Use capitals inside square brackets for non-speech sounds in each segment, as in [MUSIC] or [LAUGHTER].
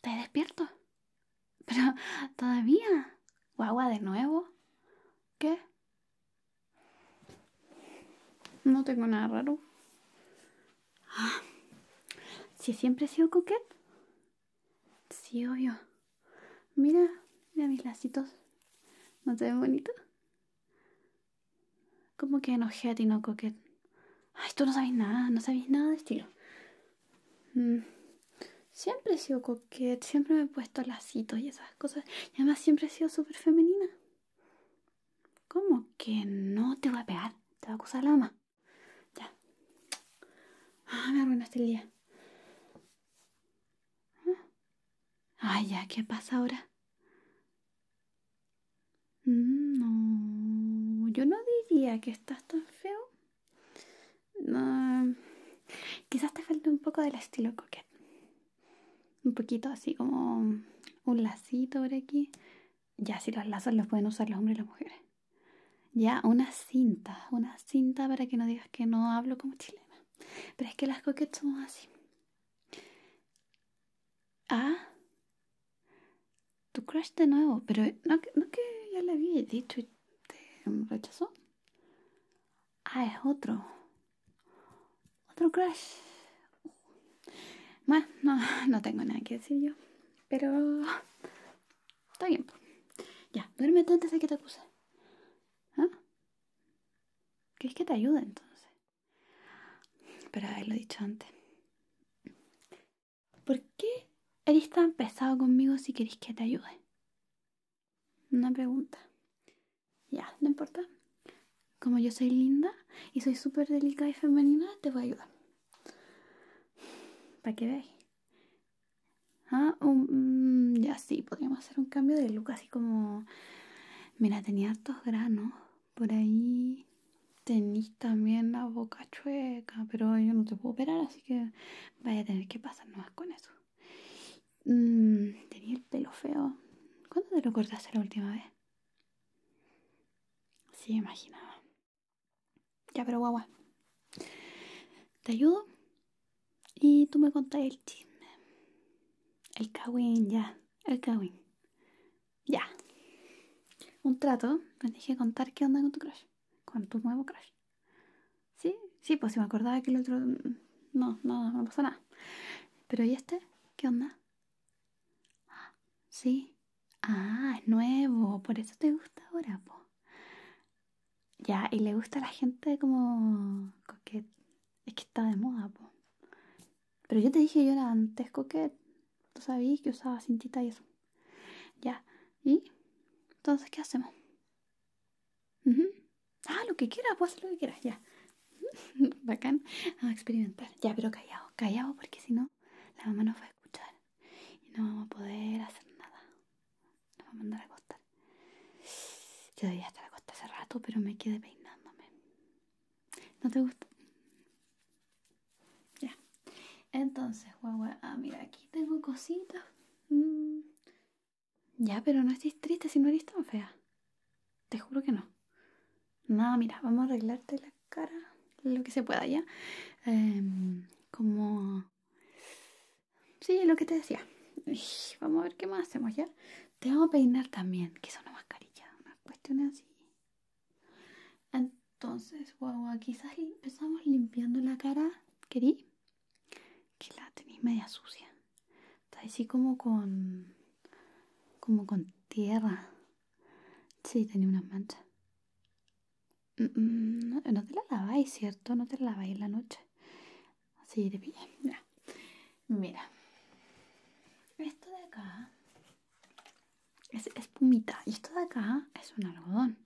Te he despierto? [LAUGHS] ¿Pero todavía? ¿Guagua de nuevo? ¿Qué? No tengo nada raro. Ah, si siempre he sido coquete. Sí, obvio. Mira, mira mis lacitos. ¿No te ven bonitos? ¿Cómo que enojé y no coquet? Ay, tú no sabes nada, no sabes nada de estilo. Mm. Siempre he sido coquet, siempre me he puesto lacitos y esas cosas. Y además siempre he sido súper femenina. ¿Cómo que no te voy a pegar? Te va a acusar la mamá. Ya. Ah, me arruinaste el día. Ah. Ay, ya, ¿qué pasa ahora? Mm, no, yo no diría que estás tan feo. No, quizás te falte un poco del estilo coquette. Un poquito así como un lacito por aquí. Ya, si los lazos los pueden usar los hombres y las mujeres. Ya, una cinta, una cinta para que no digas que no hablo como chilena. Pero es que las coquettes son así. Ah, tu crush de nuevo, pero no, no que ya le había dicho y te rechazó. Ah, es otro. Otro crush. Bueno, no, tengo nada que decir yo. Pero... Está bien. Ya, duérmete antes de que te puse. ¿Ah? es que te ayuda entonces? Pero haberlo dicho antes. ¿Por qué eres tan pesado conmigo si quieres que te ayude? Una pregunta. Ya, no importa. Como yo soy linda y soy súper delicada y femenina, te voy a ayudar. Para que veáis. Ah, um, mm, ya sí, podríamos hacer un cambio de look así como Mira, tenía estos granos. Por ahí tenéis también la boca chueca, pero yo no te puedo operar, así que vaya a tener que pasar más con eso. Mm, tenía el pelo feo. ¿Cuándo te lo cortaste la última vez? Sí, imaginaba. Ya, pero guau. Te ayudo y tú me contás el chisme. El kawin, ya el Kawin. Ya. Un trato, me dije contar qué onda con tu crush, con tu nuevo crush. Sí, sí, pues si me acordaba que el otro. Mm, no, no, no pasó nada. Pero ¿y este? ¿Qué onda? Ah, sí. Ah, es nuevo, por eso te gusta ahora, po. Ya, y le gusta a la gente como coquet es que está de moda, pues. Pero yo te dije, yo era antes coquet. Tú sabías que usaba cintita y eso. Ya. ¿Y? Entonces, ¿qué hacemos? Ah, lo que quieras, pues lo que quieras, ya. [LAUGHS] Bacán. A experimentar. Ya, pero callado, callado, porque si no, la mamá nos va a escuchar. Y no vamos a poder hacer nada. Nos va a mandar a acostar. Yo debía estar acostada hace rato, pero me quedé peinándome. ¿No te gusta? Ya. Entonces, guagua, ah, mira, aquí tengo cositas. Mm. Ya, pero no estés triste si no eres tan fea. Te juro que no. No, mira, vamos a arreglarte la cara lo que se pueda, ¿ya? Em, como... Sí, lo que te decía. vamos a ver qué más hacemos, ¿ya? Te vamos a peinar también, que son una mascarilla, unas cuestiones así. Entonces, guau, quizás empezamos limpiando la cara, ¿querí? Que la tenéis media sucia. Está así como con. como con tierra. Sí, tenía unas manchas. Mm, mm, no, te la laváis, ¿cierto? No te la laváis en la noche. Así de bien, mira. Esto de acá es espumita. Y esto de acá es un algodón.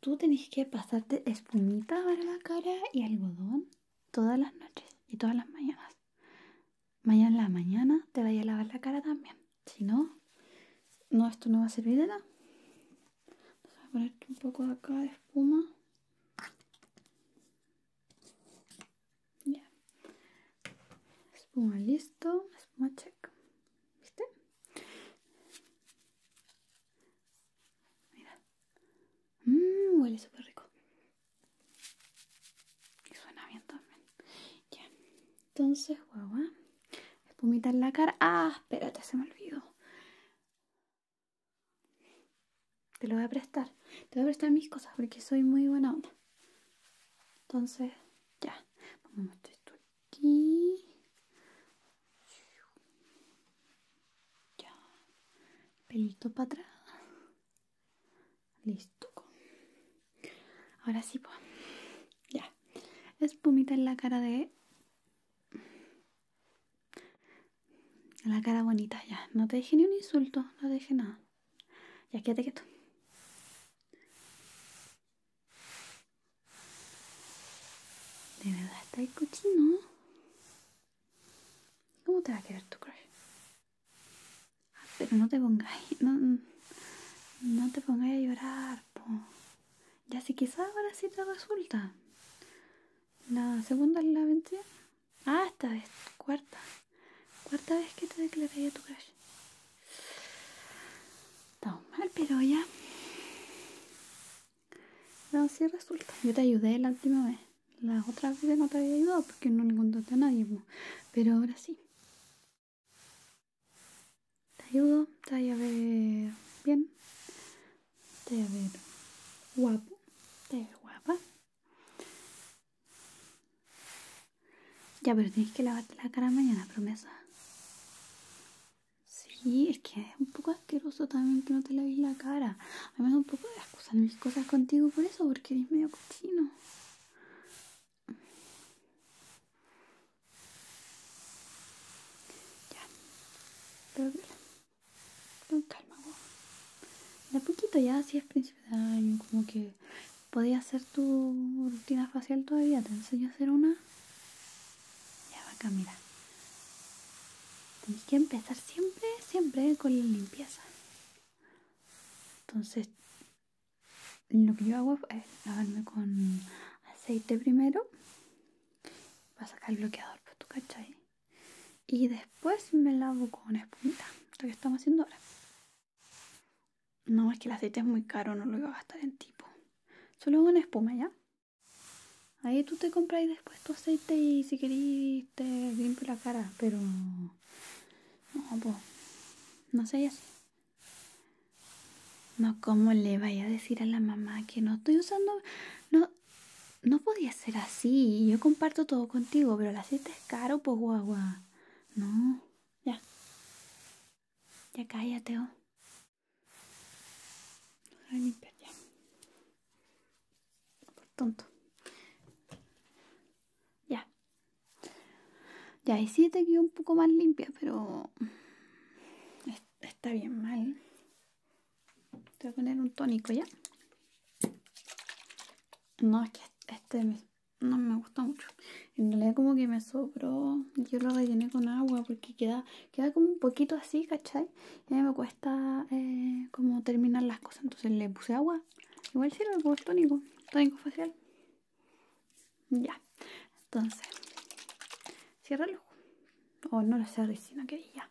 Tú tenés que pasarte espumita para la cara y algodón todas las noches y todas las mañanas. Mañana en la mañana te vaya a lavar la cara también. Si no, no, esto no va a servir de nada. Vamos a ponerte un poco de acá de espuma. Ya. Espuma listo. Espuma check. ¿Viste? Mira. Mmm, huele súper rico. Y suena bien también. Ya. Entonces, guau Espumita en la cara. Ah, espérate, se me olvidó. Te lo voy a prestar. Te voy a prestar mis cosas porque soy muy buena onda. Entonces, ya. Vamos a esto aquí. Ya. Pelito para atrás. Listo. Ahora sí, pues. Ya. Espumita en la cara de la cara bonita, ya. No te dije ni un insulto, no te dije nada. Ya quédate quieto. De verdad está el cochino. ¿Cómo te va a quedar tu crush? Ah, pero no te pongáis, no, no te pongáis a llorar, po. Ya si quizás ahora sí te resulta. La segunda la vencida Ah, esta vez, cuarta. Cuarta vez que te declaré a tu crush. Estamos mal, pero ya. No, sí resulta. Yo te ayudé la última vez. la otra vez no te había ayudado porque no le contaste a nadie. Pero ahora sí. Te ayudo, te voy a ver bien. Te voy a ver guapo. Te voy a ver guapa. Ya, pero tienes que lavarte la cara mañana, promesa. Sí, es que es un poco asqueroso también que no te laves la cara. A un poco de excusar mis cosas contigo por eso, porque eres medio cochino. Ya. Con calma, De poquito ya, si es principio de año, como que podías hacer tu rutina facial todavía. Te enseño a hacer una. Ya, acá, mira. Tienes que empezar siempre, siempre con la limpieza. Entonces, lo que yo hago es eh, lavarme con aceite primero. Para sacar el bloqueador, por pues, tu cachai y después me lavo con espumita Esto que estamos haciendo ahora no es que el aceite es muy caro no lo iba a gastar en tipo solo una espuma ya ahí tú te compras después tu aceite y si querés te la cara pero no pues no sé así no, ¿cómo le vaya a decir a la mamá que no estoy usando, no, no podía ser así. Yo comparto todo contigo, pero la siete es caro, pues guagua. No, ya. Ya cállateo. oh. ya. Por tonto. Ya. Ya, y si te quedó un poco más limpia, pero... Está bien mal. Te voy a poner un tónico, ¿ya? No, es que este no me gusta mucho. En realidad como que me sobró. Yo lo rellené con agua porque queda, queda como un poquito así, ¿cachai? Y eh, a me cuesta eh, como terminar las cosas. Entonces le puse agua. Igual sirve, el pues, tónico. Tónico facial. Ya. Entonces, Cierra ojo O oh, no lo cerré, sino que ya.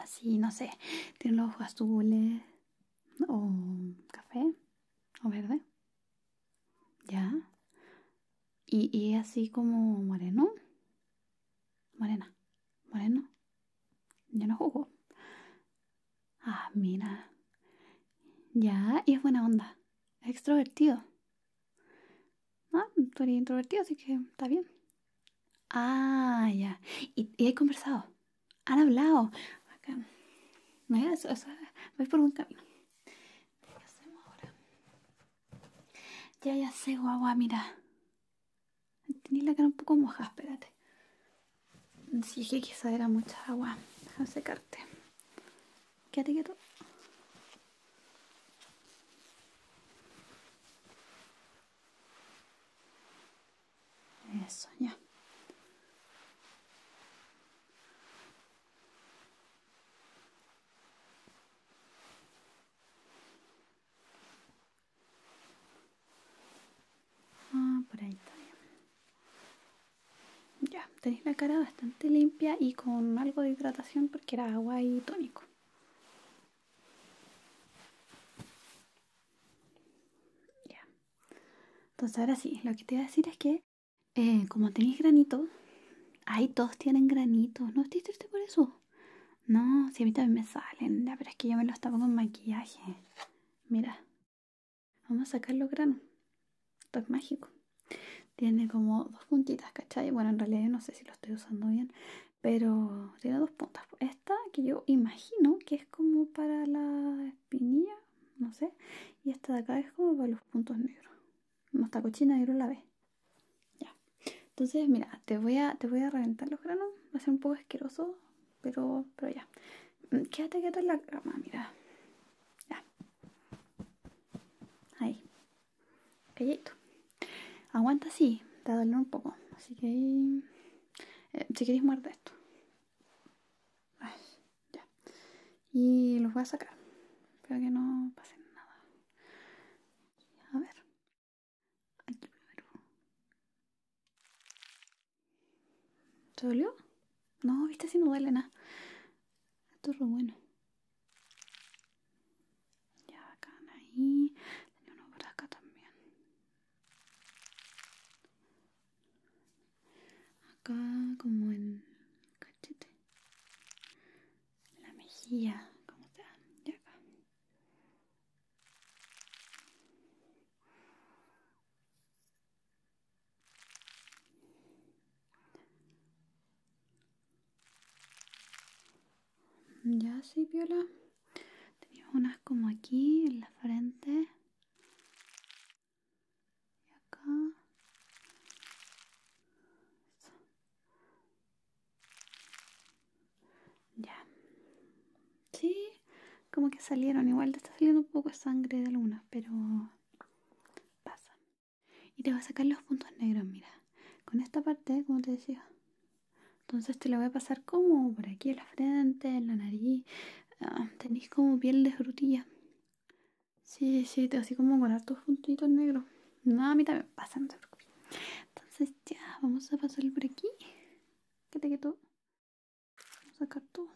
así, no sé, tiene los ojos azules o café o verde, ya, y, y así como moreno, morena, moreno, yo no jugo, ah, mira, ya, y es buena onda, extrovertido, ah, tú introvertido, así que está bien. Ah, ya. ¿Y, y hay conversado? ¿Han hablado? Acá. No, eso, voy por un camino. ¿Qué hacemos ahora? Ya, ya sé, agua, mira. Tenía la cara un poco moja, espérate. Sí, dije que quizá era mucha agua. Déjame secarte. Quédate quieto. Eso, ya. Ah, por ahí Ya, tenéis la cara bastante limpia y con algo de hidratación porque era agua y tónico. Ya. Entonces ahora sí, lo que te iba a decir es que eh, como tenéis granitos, ahí todos tienen granitos, no estoy triste por eso. No, si a mí también me salen, ya, pero es que yo me los tapo con maquillaje. Mira, vamos a sacar los granos. Esto mágico. Tiene como dos puntitas, ¿cachai? Bueno, en realidad yo no sé si lo estoy usando bien, pero tiene dos puntas. Pues, esta que yo imagino que es como para la espinilla, no sé. Y esta de acá es como para los puntos negros. No está cochina, negro la ve. Ya. Entonces, mira, te voy a, te voy a reventar los granos. Va a ser un poco asqueroso, pero, pero ya. Mm, quédate quieto en la cama, mira. Ya. Ahí. Calladito. Aguanta así, te va un poco. Así que ahí. Eh, si queréis muerde esto. ya. Y los voy a sacar. Espero que no pasen nada. A ver. ¿Te dolió? No, viste si no duele nada. Esto es lo bueno. Ya, acá, ahí. Tenía uno acá también acá como en cachete la mejilla como está Ya acá ya sí, Viola. Tenía unas como aquí, en la frente. Y acá. Ya. Sí, como que salieron. Igual te está saliendo un poco de sangre de algunas, pero pasa. Y te voy a sacar los puntos negros, mira. Con esta parte, como te decía, entonces te la voy a pasar como por aquí en la frente, en la nariz. Ah, tenéis como piel de frutilla. Sí, sí, así como con estos puntitos negros. No, a mí también pasa, Entonces ya, vamos a pasar por aquí. que te quito, Vamos a sacar todo.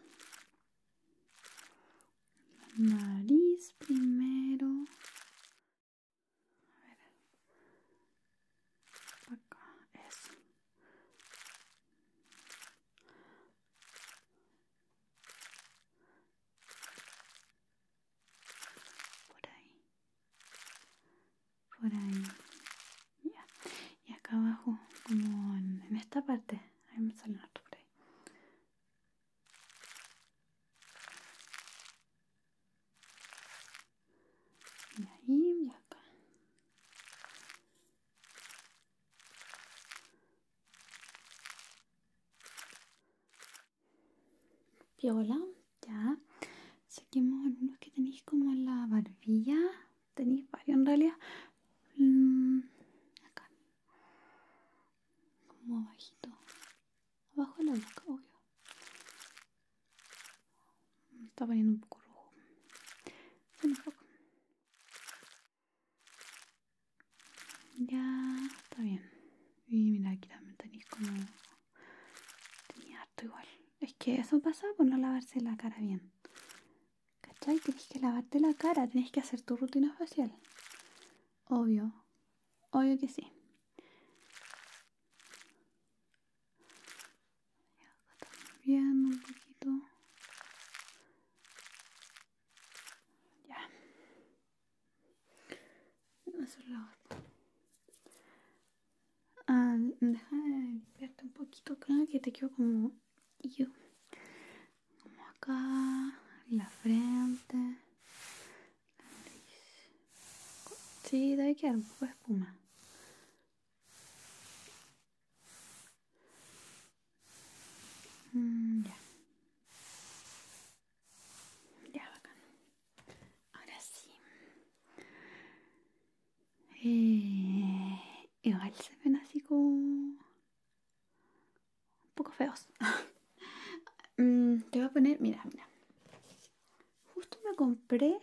nariz primero. A ver. Por acá. Eso. Por ahí. Por ahí. Ya. Y acá abajo, como en, esta parte. Ahí me sale otro por ahí. Y ahí y acá. Piola, ya. Saquemos lo que tenéis como la barbilla. Tenéis varios en realidad. Mm, acá. Como abajito. Abajo de la boca, obvio. Está poniendo un poco rojo. Ya está bien. Y mira, aquí también tenéis como. Tenía harto igual. Es que eso pasa por no lavarse la cara bien. ¿Cachai? Tienes que lavarte la cara, tienes que hacer tu rutina facial. Obvio. Obvio que sí ya acá bien, un poquito. Ya. Eso es Ah, deja de limpiarte un poquito acá que te quedo como yo. Como acá, la frente, Sí, debe quedar un poco de espuma. Mm, ya. Ya, Ahora sí. Eh, igual se ven así como... Un poco feos. [LAUGHS] Mm, te voy a poner... Mira, mira. Justo me compré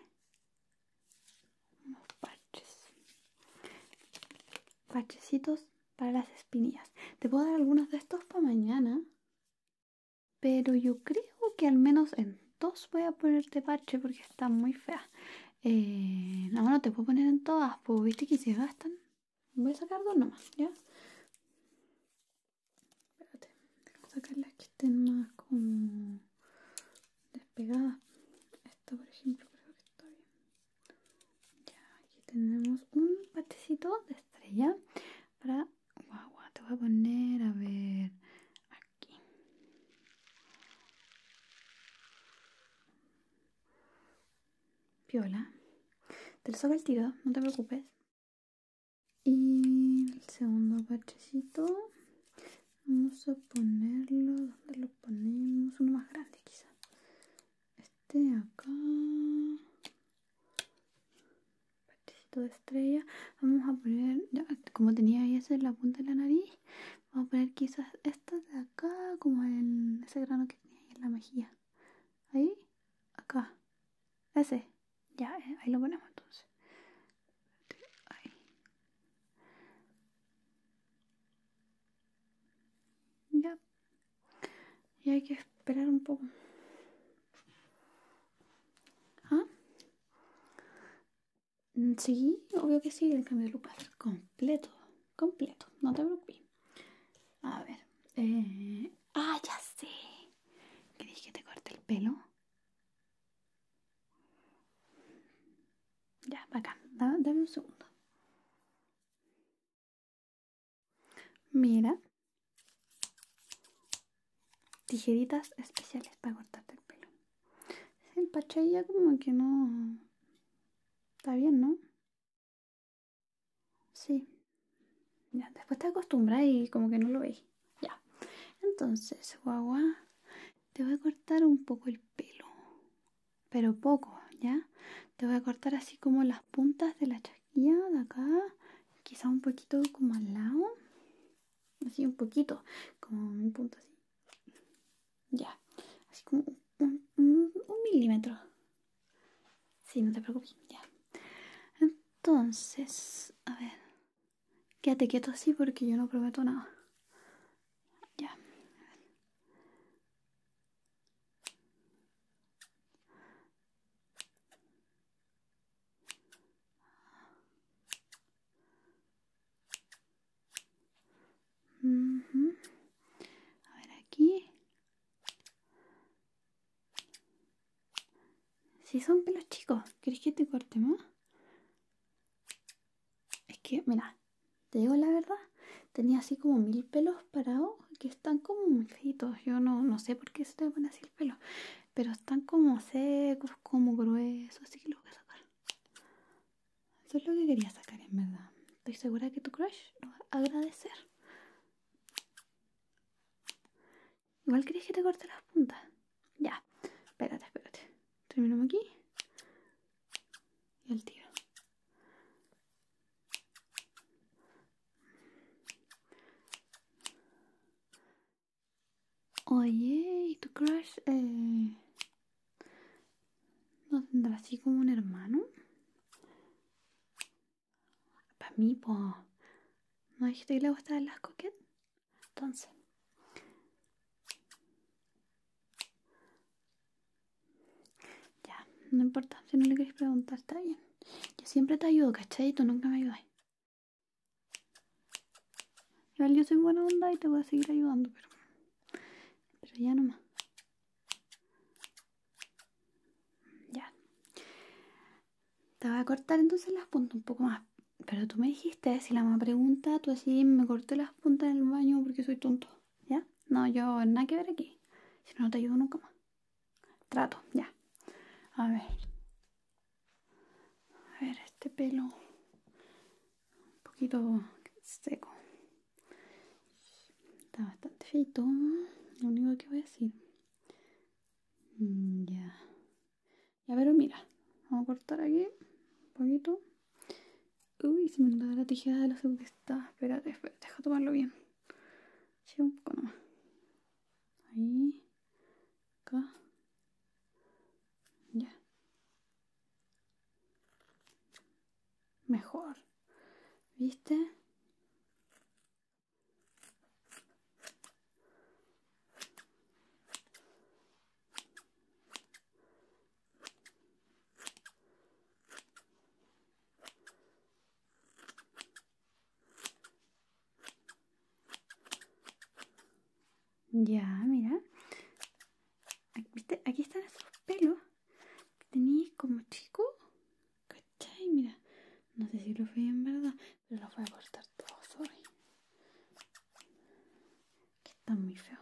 unos parches parchecitos para las espinillas te puedo dar algunos de estos para mañana pero yo creo que al menos en dos voy a ponerte parche porque está muy fea eh, no, no te puedo poner en todas porque viste que se gastan voy a sacar dos nomás ya Espérate, tengo sacar las que estén más como despegadas. Esta, por ejemplo, creo que está bien. Ya, aquí tenemos un patecito de estrella para guagua. Te voy a poner, a ver, aquí. Piola. Te lo saco el tiro, no te preocupes y el segundo bachecito vamos a ponerlo donde lo ponemos uno más grande quizás este acá bachecito de estrella vamos a poner como tenía ahí esa la punta de la nariz vamos a poner quizás esta de acá como en ese grano que tenía ahí en la mejilla ahí acá ese ya, eh, ahí lo ponemos entonces. Ya. Y hay que esperar un poco. ¿Ah? Mm, sí, obvio que sí, el cambio de lupa va a ser completo. Completo, no te preocupes. A ver. Eh... Ah, ya sé. ¿Queréis que te corte el pelo? Ya, va acá, dame un segundo. Mira. Tijeritas especiales para cortarte el pelo. El pachay ya como que no... Está bien, ¿no? Sí. Ya, después te acostumbras y como que no lo veis. Ya. Entonces, guagua, te voy a cortar un poco el pelo. Pero poco, ¿ya? Te voy a cortar así como las puntas de la chasquilla de acá. Quizá un poquito como al lado. Así un poquito. Como un punto así. Ya. Así como un, un milímetro. Sí, no te preocupes. Ya. Entonces, a ver. Quédate quieto así porque yo no prometo nada. Ya. A ver aquí. Si son pelos chicos, ¿querés que te corte más? Es que, mira, te digo la verdad, tenía así como mil pelos parados que están como muy feitos. Yo no, no sé por qué se te pone así el pelo, pero están como secos, como gruesos, así que lo voy a sacar. Eso es lo que quería sacar, en verdad. Estoy segura que tu crush lo va a agradecer. Igual querías que te corte las puntas. Ya. Espérate, espérate. Terminamos aquí. Y el tiro. Oye, ¿y tu crush eh, no tendrá así como un hermano? Para mí, po. ¿No dijiste que le estar las coquettes? Entonces, ya, no importa si no le querés preguntar, está bien. Yo siempre te ayudo, ¿cachai? Tú nunca me ayudas. Igual yo soy buena onda y te voy a seguir ayudando, pero, pero ya nomás. Ya. Te voy a cortar entonces las puntas un poco más. Pero tú me dijiste, si la mamá pregunta, tú así me corté las puntas en el baño porque soy tonto. ¿Ya? No, yo nada que ver aquí. Si no, no te ayudo nunca más. Trato, ya. A ver. A ver, este pelo. Un poquito seco. Está bastante feito. ¿eh? Lo único que voy a decir. Mm, ya. Ya, ver, mira, vamos a cortar aquí un poquito. Uy, se me dado la tijera de la está Espérate, espérate, deja tomarlo bien. Sí, un poco más Ahí, acá. Ya. Mejor. ¿Viste? Ya, mira. Aquí están esos pelos que tenéis como chico. ¿Cachai? Mira. No sé si lo veo en verdad. Lo voy a cortar todo, hoy qué están muy feo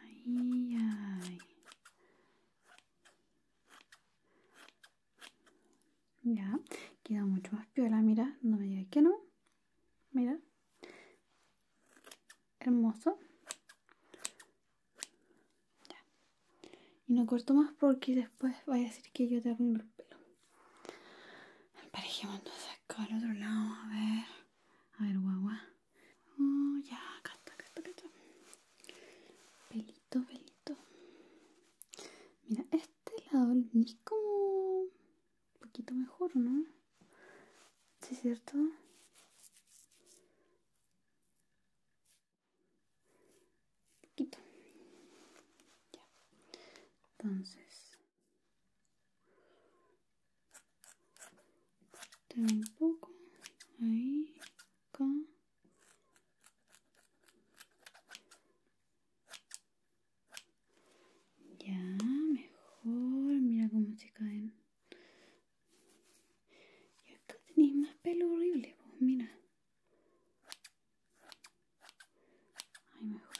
Ay, Ya, queda mucho más piola, mira, no me digas que no. Mira hermoso y no corto más porque después vaya a decir que yo te arruino el pelo emparejemos entonces acá al otro lado a ver a ver guagua oh, ya acá está acá está pelito pelito mira este lado es como un poquito mejor no ¿Sí es cierto? Entonces. Tengo un poco. Ahí. Acá. Ya, mejor. Mira cómo se caen. Y acá tenéis más pelo horrible, pues mira. Ay, mejor.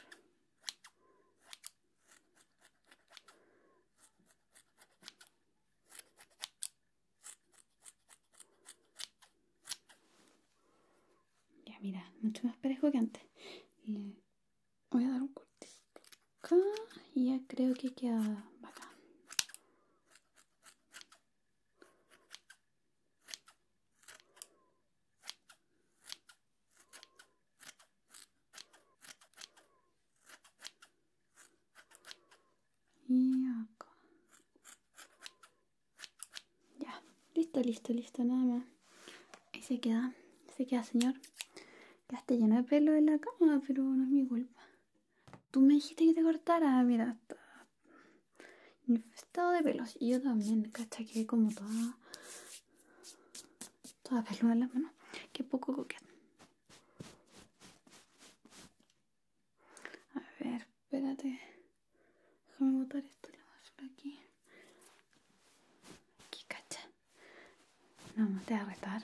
Ya, mira, mucho más parejo que antes voy a dar un cortito acá y ya creo que queda bacán y acá ya listo listo listo nada más ahí se queda se queda señor Está lleno de pelo en la cama, pero no es mi culpa. Tú me dijiste que te cortara, mira, está infestado de pelos. Y yo también, cacha, que como toda. toda peluda en la mano, Qué poco coqueta. A ver, espérate. Déjame botar esto a por aquí. Aquí, cacha. No, no te voy a retar.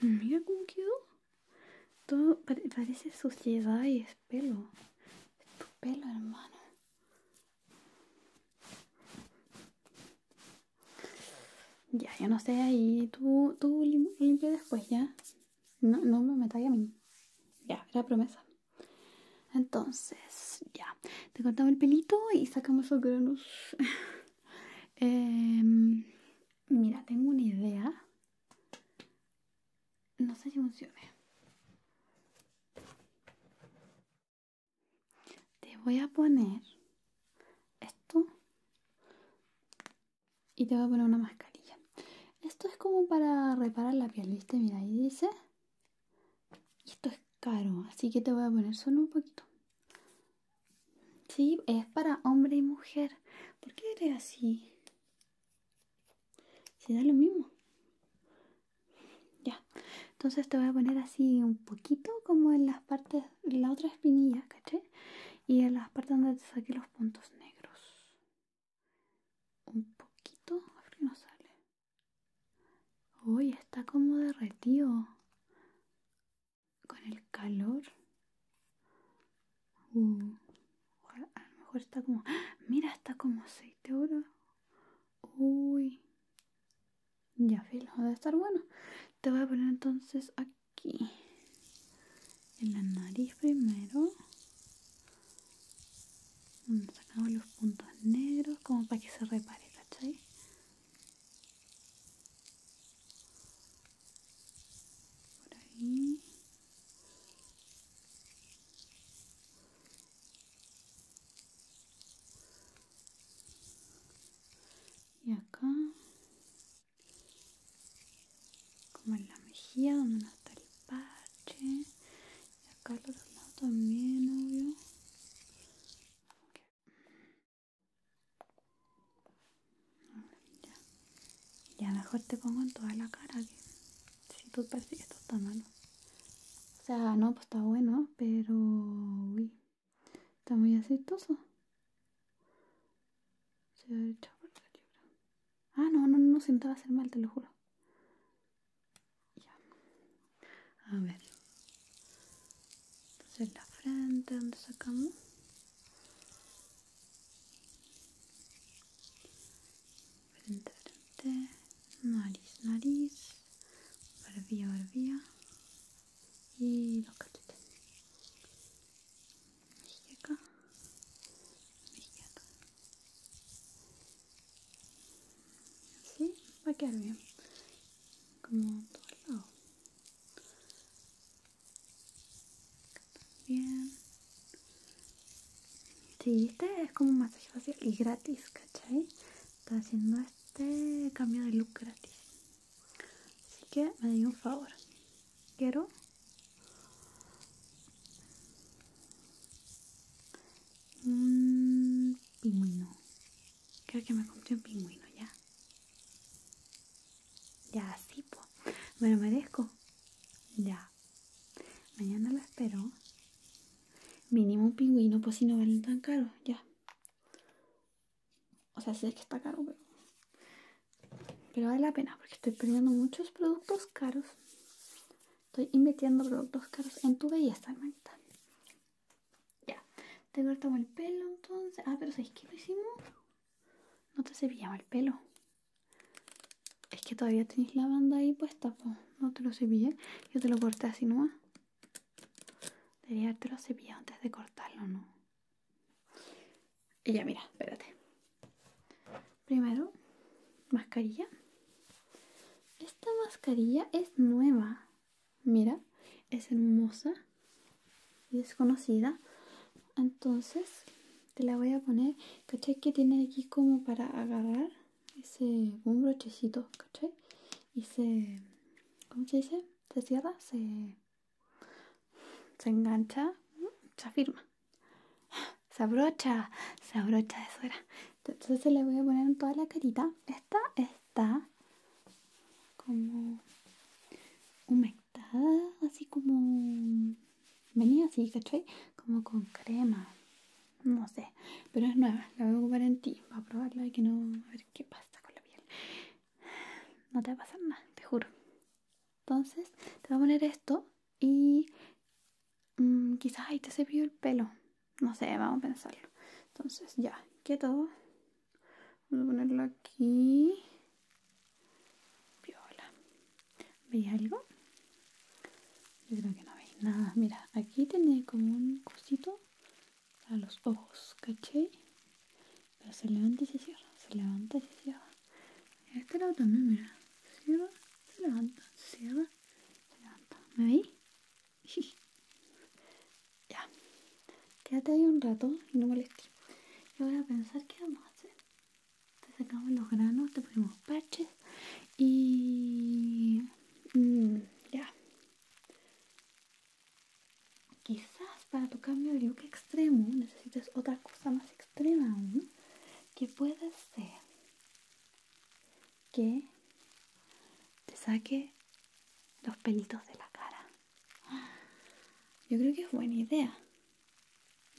Mira cómo quedó. Todo parece suciedad y es pelo. Es tu pelo, hermano. Ya, yo no sé ahí. Tú, tú limpia después, ya. No, no me metáis a mí. Ya, era promesa. Entonces, ya te cortamos el pelito y sacamos los granos [LAUGHS] em, mira tengo una idea no sé si funcione te voy a poner esto y te voy a poner una mascarilla esto es como para reparar la piel viste mira ahí dice y esto es caro, así que te voy a poner solo un poquito. Sí, es para hombre y mujer. ¿Por qué eres así? Si da lo mismo. Ya. Entonces te voy a poner así un poquito como en las partes, en la otra espinilla, ¿caché? Y en las partes donde te saqué los puntos negros. Un poquito, a ver no sale. Uy, está como derretido con el calor. Uh, a lo mejor está como... ¡Ah! Mira, está como aceite, oro. Uy. Ya filo, debe estar bueno. Te voy a poner entonces aquí. En la nariz primero. a sacar los puntos negros como para que se repare, ¿cachai? por ahí y acá como en la mejilla donde no está el parche y acá al otro lado también obvio ya. mejor te pongo en toda la cara que si tú que esto está malo. O sea, no, pues está bueno, pero uy, está muy aceitoso. Se ha por Ah, no, no, no, si va a hacer mal, te lo juro. Ya. A ver. Entonces la frente, ¿dónde sacamos? Frente, frente. Nariz, nariz. Barbilla, barbilla. Y lo que esté acá. Así va a quedar bien como todo el lado bien si este es como un masaje facial y gratis ¿cachai? está haciendo este cambio de look gratis así que me doy un favor quiero un pingüino Creo que me compré un pingüino ya. Ya, así, pues. Me merezco. Ya. Mañana lo espero. Mínimo un pingüino, pues si no valen tan caro, ya. O sea, sé que está caro, pero... Pero vale la pena porque estoy perdiendo muchos productos caros. Estoy invirtiendo productos caros en tu belleza, hermanita. Ya, te cortamos el pelo entonces. Ah, pero sabéis qué lo hicimos? No te cepillamos el pelo. Es que todavía tenéis la banda ahí puesta, no te lo cepillé. Yo te lo corté así no Debería lo cepillado antes de cortarlo, ¿no? Y ya, mira, espérate. Primero, mascarilla. Esta mascarilla es nueva. Mira, es hermosa y desconocida. Entonces, te la voy a poner. ¿Cachai? Que tiene aquí como para agarrar ese un brochecito, ¿cachai? Y se. ¿Cómo se dice? Se cierra, se. Se engancha, se afirma. Se abrocha, se abrocha, de suera. Entonces le voy a poner en toda la carita. Esta es está como humectada, así como venía así, ¿cachai? Como con crema, no sé, pero es nueva, la voy a ocupar en ti, para probarla y que no, a ver qué pasa con la piel. No te va a pasar nada, te juro. Entonces, te voy a poner esto y mm, quizás ahí te vio el pelo. No sé, vamos a pensarlo. Entonces, ya, todo Vamos a ponerlo aquí. Viola. ¿Veis algo? Yo creo que no veis nada. Mira, aquí tiene como un cosito a los ojos, caché? Pero se levanta y se cierra, se levanta y se cierra. Este lado también, mira. Cierra, se levanta, se cierra, se levanta. ¿Me veis? [LAUGHS] ya. Quédate ahí un rato y no molestes. Yo voy a pensar qué vamos a hacer. Te sacamos los granos, te ponemos parches y... Mm, ya. Quizás para tu cambio de look extremo necesitas otra cosa más extrema aún. Que puede ser que te saque los pelitos de la cara. Yo creo que es buena idea.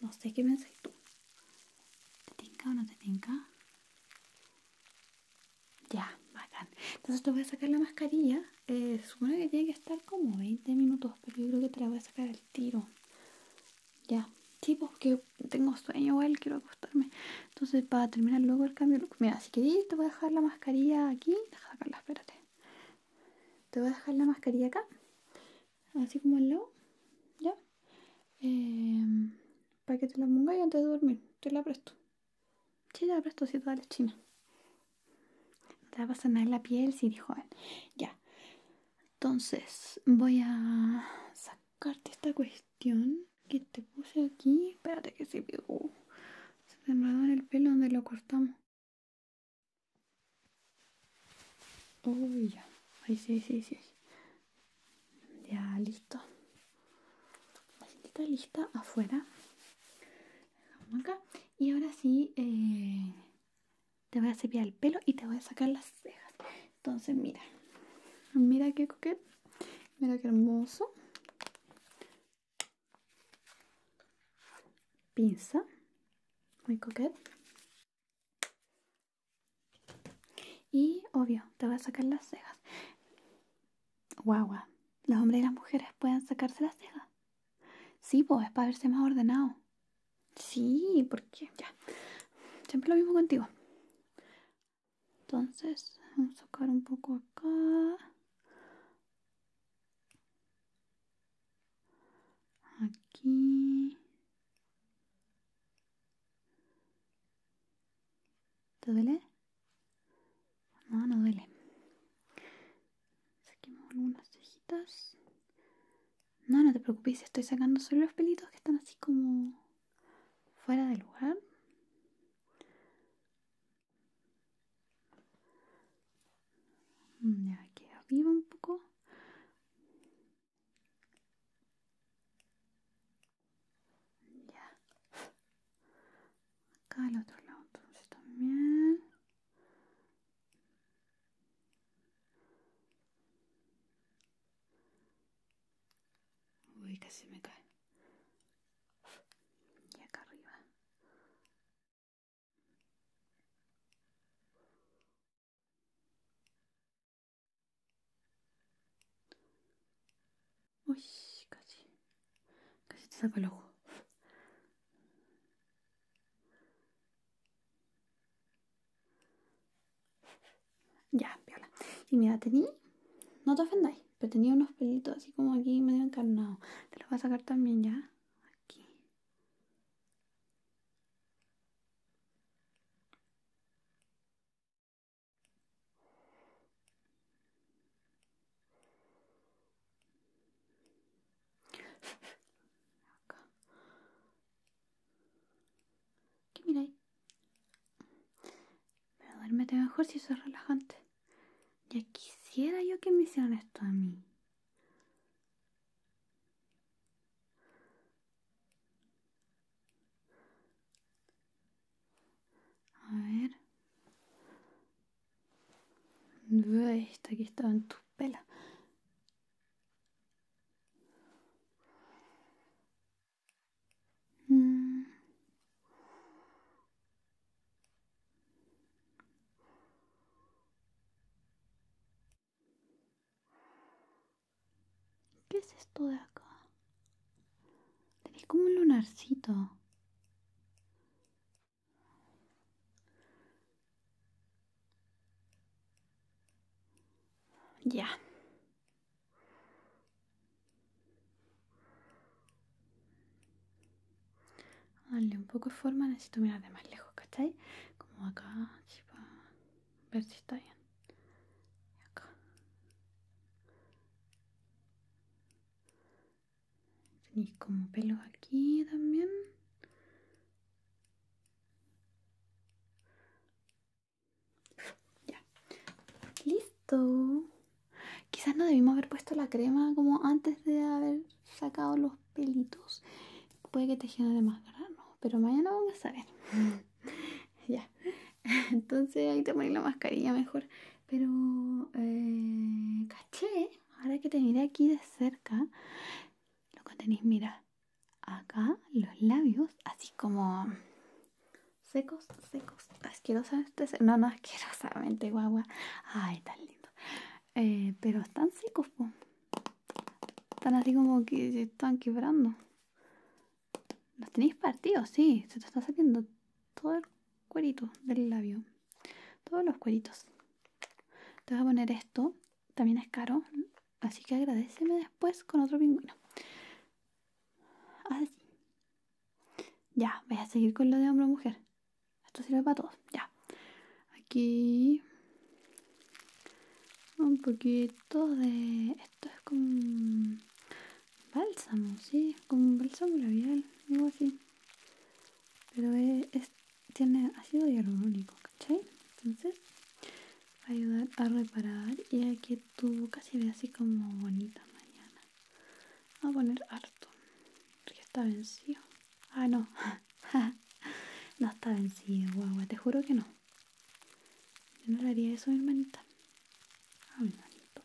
No sé qué pensáis tú. ¿Te tinca o no te tinca? Ya, bacán. Entonces te voy a sacar la mascarilla. es eh, una que tiene que estar como 20 minutos, pero yo creo que te la voy a sacar al tiro. Ya. Sí, pues, que tengo sueño, igual quiero acostarme. Entonces, para terminar luego el cambio look, mira, si queréis, te voy a dejar la mascarilla aquí. Deja sacarla, espérate. Te voy a dejar la mascarilla acá, así como al lado, ya. Eh, para que te la pongáis antes de dormir. Te la presto. Sí, la presto, si toda la china. No te va a pasar nada en la piel, si dijo Ya. Entonces, voy a sacarte esta cuestión que te puse aquí. Espérate que se pegó. Se te en el pelo donde lo cortamos. Uy, ya. Ahí sí, sí, sí. Ya, listo. La está lista afuera. Acá. Y ahora sí, eh, te voy a cepillar el pelo y te voy a sacar las cejas. Entonces, mira. Mira qué coquete. Mira qué hermoso. Pinza. Muy coquete. Y obvio, te voy a sacar las cejas. Guagua, los hombres y las mujeres pueden sacarse las cejas. Sí, pues es para verse más ordenado. Sí, porque Ya. Siempre lo mismo contigo entonces vamos a sacar un poco acá aquí ¿te duele? no, no duele saquemos algunas cejitas no, no te preocupes estoy sacando solo los pelitos que están así como fuera de lugar. Mm, ya aquí vivo un poco. Ya. Acá al otro lado también. Uy, casi me cae. Y acá arriba. Uy, casi. Casi te saca el ojo. Ya, viola Y mira, tenía. No te ofendáis, pero tenía unos pelitos así como aquí medio encarnados. Te los voy a sacar también ya. Aquí. Acá. ¿Qué miráis? Pero duérmete mejor si eso es relajante. Ya quisiera yo que me hicieran esto a mí. A ver. ve esta aquí estaba en tus pelas. Mm. ¿Qué es esto de acá? Tenés como un lunarcito. Ya. Darle un poco de forma, necesito mirar de más lejos, ¿cachai? Como acá, así ver si está bien. Y acá. Tenéis como pelos aquí también. Ya. Listo. Quizás no debimos haber puesto la crema como antes de haber sacado los pelitos. Puede que te de más grano, pero mañana vamos a saber. [LAUGHS] ya. Entonces ahí te ponéis la mascarilla mejor. Pero eh, caché, ahora que te miré aquí de cerca, lo que tenéis, mira, acá los labios, así como secos, secos, asquerosamente No, no, asquerosamente, guagua. Ay, tan lindo. Eh, pero están secos, po. Están así como que se están quebrando. Los tenéis partidos, sí. Se te está saliendo todo el cuerito del labio. Todos los cueritos. Te voy a poner esto. También es caro. Así que agradeceme después con otro pingüino. Así. Ya, voy a seguir con lo de hombre o mujer. Esto sirve para todos. Ya. Aquí. Un poquito de. Esto es como. bálsamo, sí. Como bálsamo labial. Algo así. Pero tiene ácido hialurónico, ¿cachai? Entonces, va a ayudar a reparar y aquí tu boca se ve así como bonita mañana. Vamos a poner harto. Porque está vencido. Ah, no. [LAUGHS] no está vencido, guagua. Te juro que no. Yo no le haría eso a mi hermanita. A mi hermanito.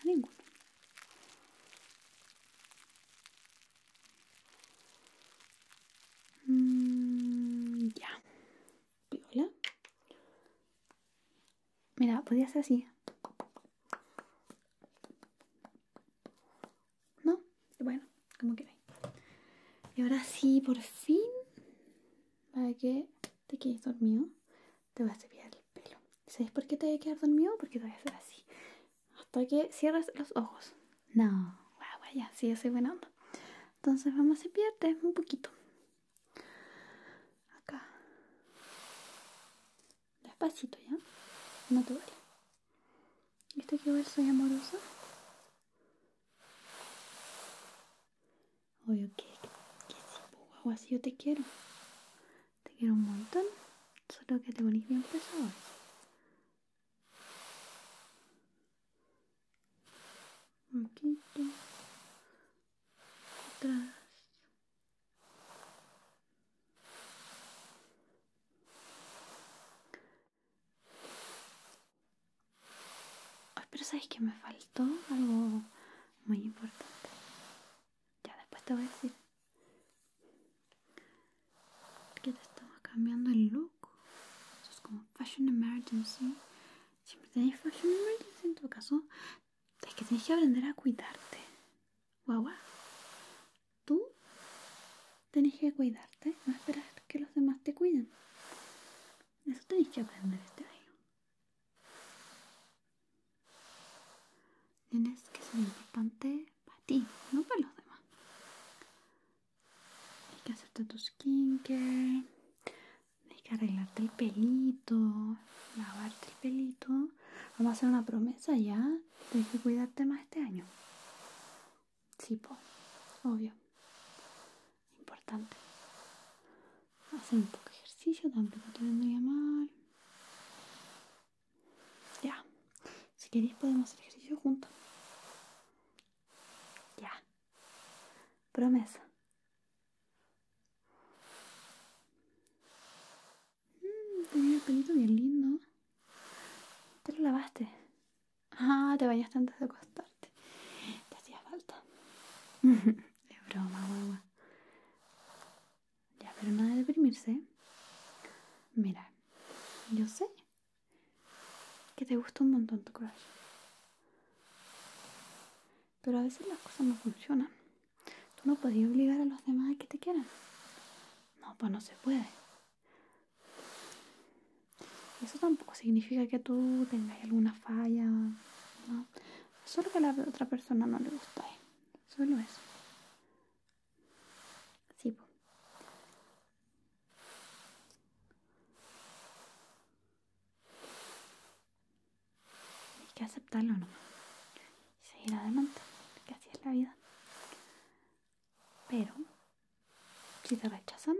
A ninguno. Mm, ya. piola Mira, podía ser así. ¿No? Bueno, como quieres? Y ahora sí, por fin, para que te quedes dormido, te voy a cepillar el pelo. sabes por qué te voy a quedar dormido? Porque te voy a hacer así. Hasta que cierres los ojos. No, guagua ya vaya, sí, yo soy buena onda. Entonces vamos a cepillarte un poquito acá despacito ya no te vale viste que igual soy amorosa Oye, ¿qué? que pues, si guau así yo te quiero te quiero un montón solo que te pones bien pesado un poquito otras... pero sabes que me faltó algo muy importante ya después te voy a decir que te estamos cambiando el look eso es como fashion emergency siempre tenéis fashion emergency en tu caso es que tienes que aprender a cuidarte. Guau, Tú tienes que cuidarte, no esperar que los demás te cuiden. Eso tienes que aprender este año. Tienes que ser importante para ti, no para los demás. Hay que hacerte tu skincare, hay que arreglarte el pelito, lavarte el pelito. Vamos a hacer una promesa ya. Tienes que cuidarte más este año. Sí, po. obvio. Importante. Hacer un poco de ejercicio tampoco te vendría mal. Ya. Si queréis podemos hacer ejercicio juntos. Ya. Promesa. Mm, tenía un pelito bien lindo. Te lo lavaste. Ah, te vayas antes de acostarte. Te hacía falta. De [LAUGHS] broma, guagua. Ya, pero nada de deprimirse. Mira, yo sé que te gusta un montón tu color pero a veces las cosas no funcionan. Tú no podías obligar a los demás a que te quieran. No, pues no se puede. Eso tampoco significa que tú tengas alguna falla, ¿no? Solo que a la otra persona no le gusta. Solo eso. Sí, pues. Tienes que aceptarlo ¿no? Y seguir adelante, que así es la vida. Pero, si te rechazan,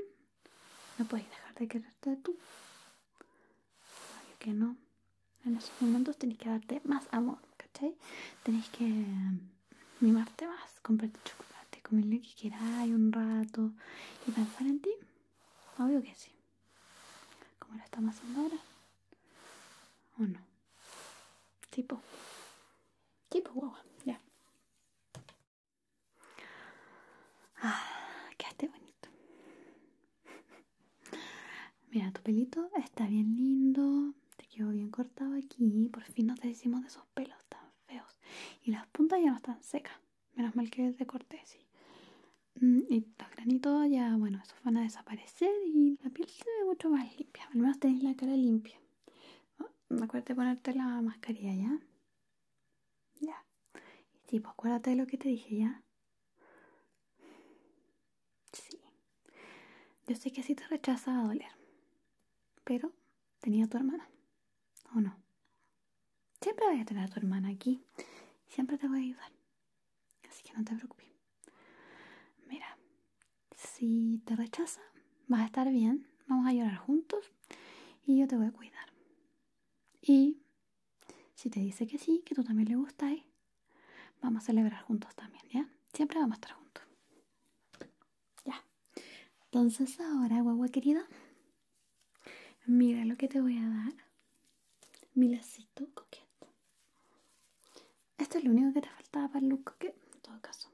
no puedes dejar de quererte de ti. Obvio que no. En esos momentos tenés que darte más amor, ¿cachai? Tenés que mm, mimarte más, comprarte chocolate, comer lo que quieras un rato y pensar en ti. Obvio que sí. ¿Cómo lo estamos haciendo ahora o no tipo tipo guagua ya ah, quedaste bonito [LAUGHS] mira tu pelito está bien lindo te quedó bien cortado aquí por fin nos decimos de esos pelos tan feos y las puntas ya no están secas menos mal que te corté, sí. Mm, y los granitos ya, bueno, esos van a desaparecer y la piel se ve mucho más limpia. Al menos tenéis la cara limpia. No, ah, acuérdate ponerte la mascarilla, ¿ya? Ya. Y sí, pues acuérdate de lo que te dije, ¿ya? Sí. Yo sé que así te rechaza a doler. Pero tenía tu hermana. ¿O no? Siempre voy a tener a tu hermana aquí. Siempre te voy a ayudar. Así que no te preocupes. Mira, si te rechaza, vas a estar bien. Vamos a llorar juntos y yo te voy a cuidar. Y si te dice que sí, que tú también le gustas, vamos a celebrar juntos también, ¿ya? Siempre vamos a estar juntos. Ya. Entonces ahora, guagua querida, Mira lo que te voy a dar. Mi lacito coqueto. Esto es lo único que te faltaba para el look que en todo caso.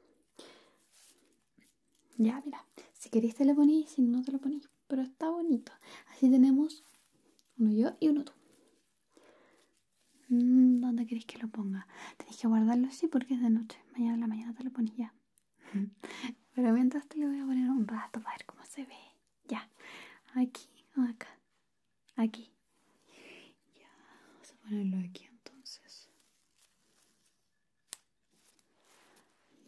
Ya, mira. Si queréis te lo ponís, si no te lo ponís. Pero está bonito. Así tenemos uno yo y uno tú. Mm, ¿Dónde queréis que lo ponga? Tenéis que guardarlo así porque es de noche. Mañana a la mañana te lo ponía. [LAUGHS] Pero mientras te lo voy a poner un rato para ver cómo se ve. Ya. Aquí o acá. Aquí. Ya. Vamos a ponerlo aquí entonces.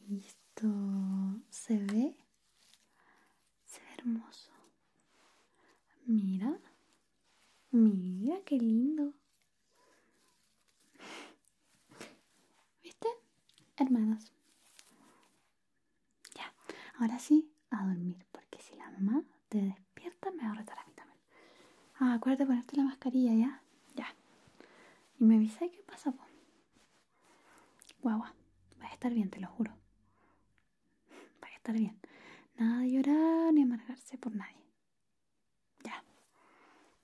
Listo. ¿Se ve? Se ve hermoso. Mira. Mira qué lindo. [LAUGHS] ¿Viste? Hermanas. Ya, ahora sí, a dormir, porque si la mamá te despierta me va a retar a mí también. Ah, acuérdate ponerte la mascarilla, ¿ya? Ya. Y me avisa qué pasa, Guau, Guagua, vas a estar bien, te lo juro. Va a estar bien. Nada de llorar ni amargarse por nadie. Ya.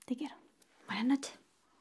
Te quiero. Buenas noches